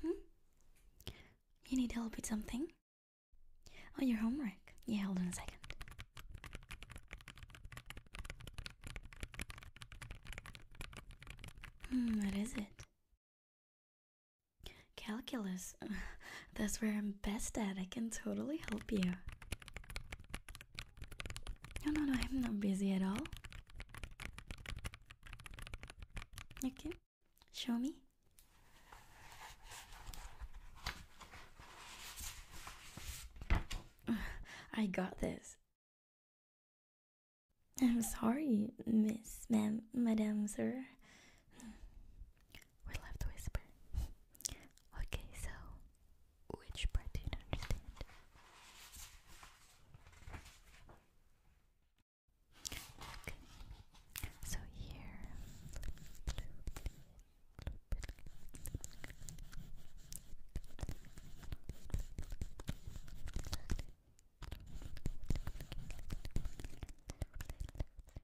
Hmm? You need help with something? Oh, your homework. Yeah, hold on a second. Hmm, what is it? Calculus. that's where I'm best at. I can totally help you. No, no, no, I'm not busy at all. You can show me. I got this. I'm sorry, Miss, Ma'am, Madam, Sir. We're left to whisper. okay, so which part do you understand? Okay, so here.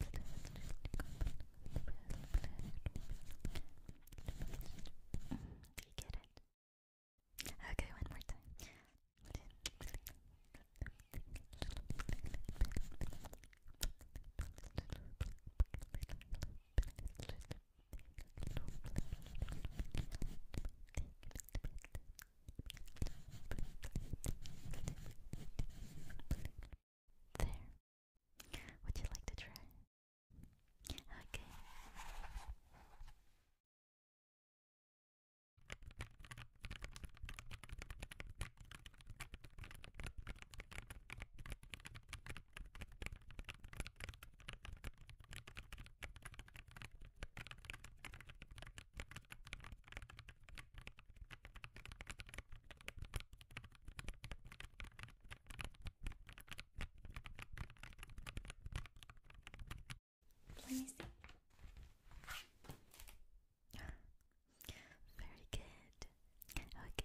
Do you get it? Okay, one more time. There. Would you like to try? Okay. Let me Very good. Okay.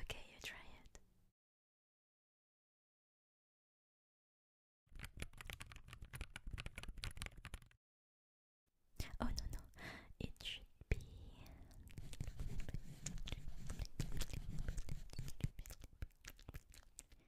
Okay, you try it. Oh no no, it should be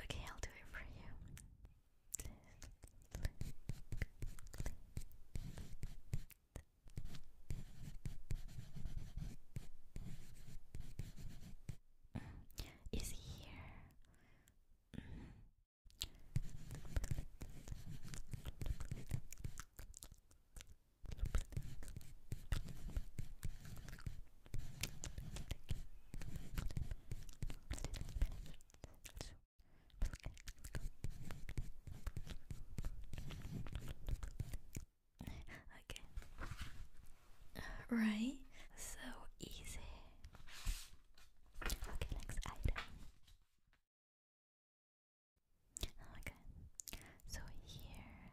Okay, I'll do it for you. Mm, is here? Mm. Okay. Right? So easy. Okay, next item. Okay. So here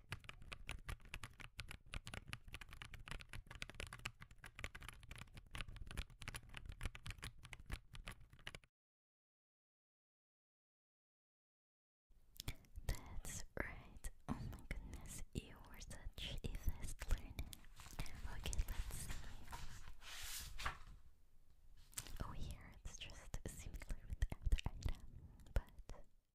That's right. Oh my goodness, you were such a fast learner. Okay, let's see. Oh, here it's just similar with the other item, but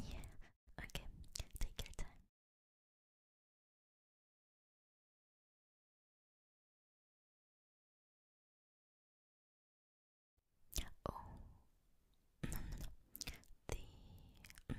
Yeah, okay, take your time. Oh, The. Mm,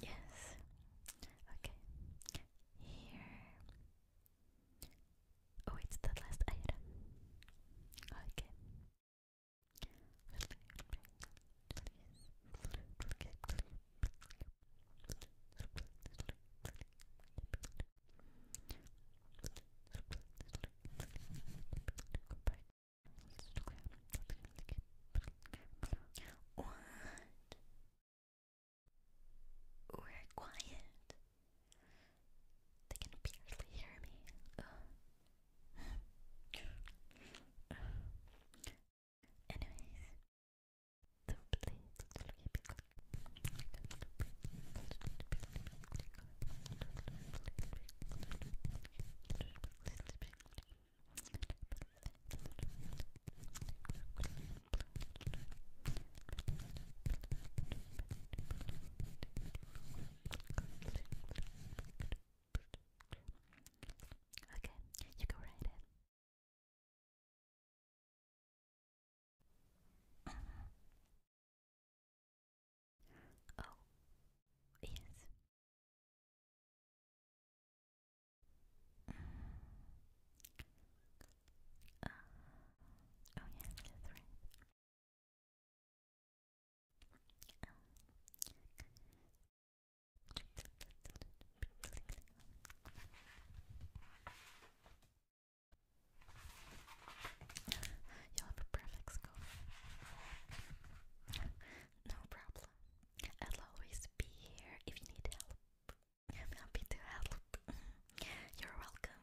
Yes. Okay. Here. Oh, it's the last item. Okay. What? We're quiet. They can barely hear me. Anyways. Okay, you go right in oh, yes. oh, yes, that's right. You'll have a perfect score. No problem. I'll always be here if you need help. happy to help. You're welcome.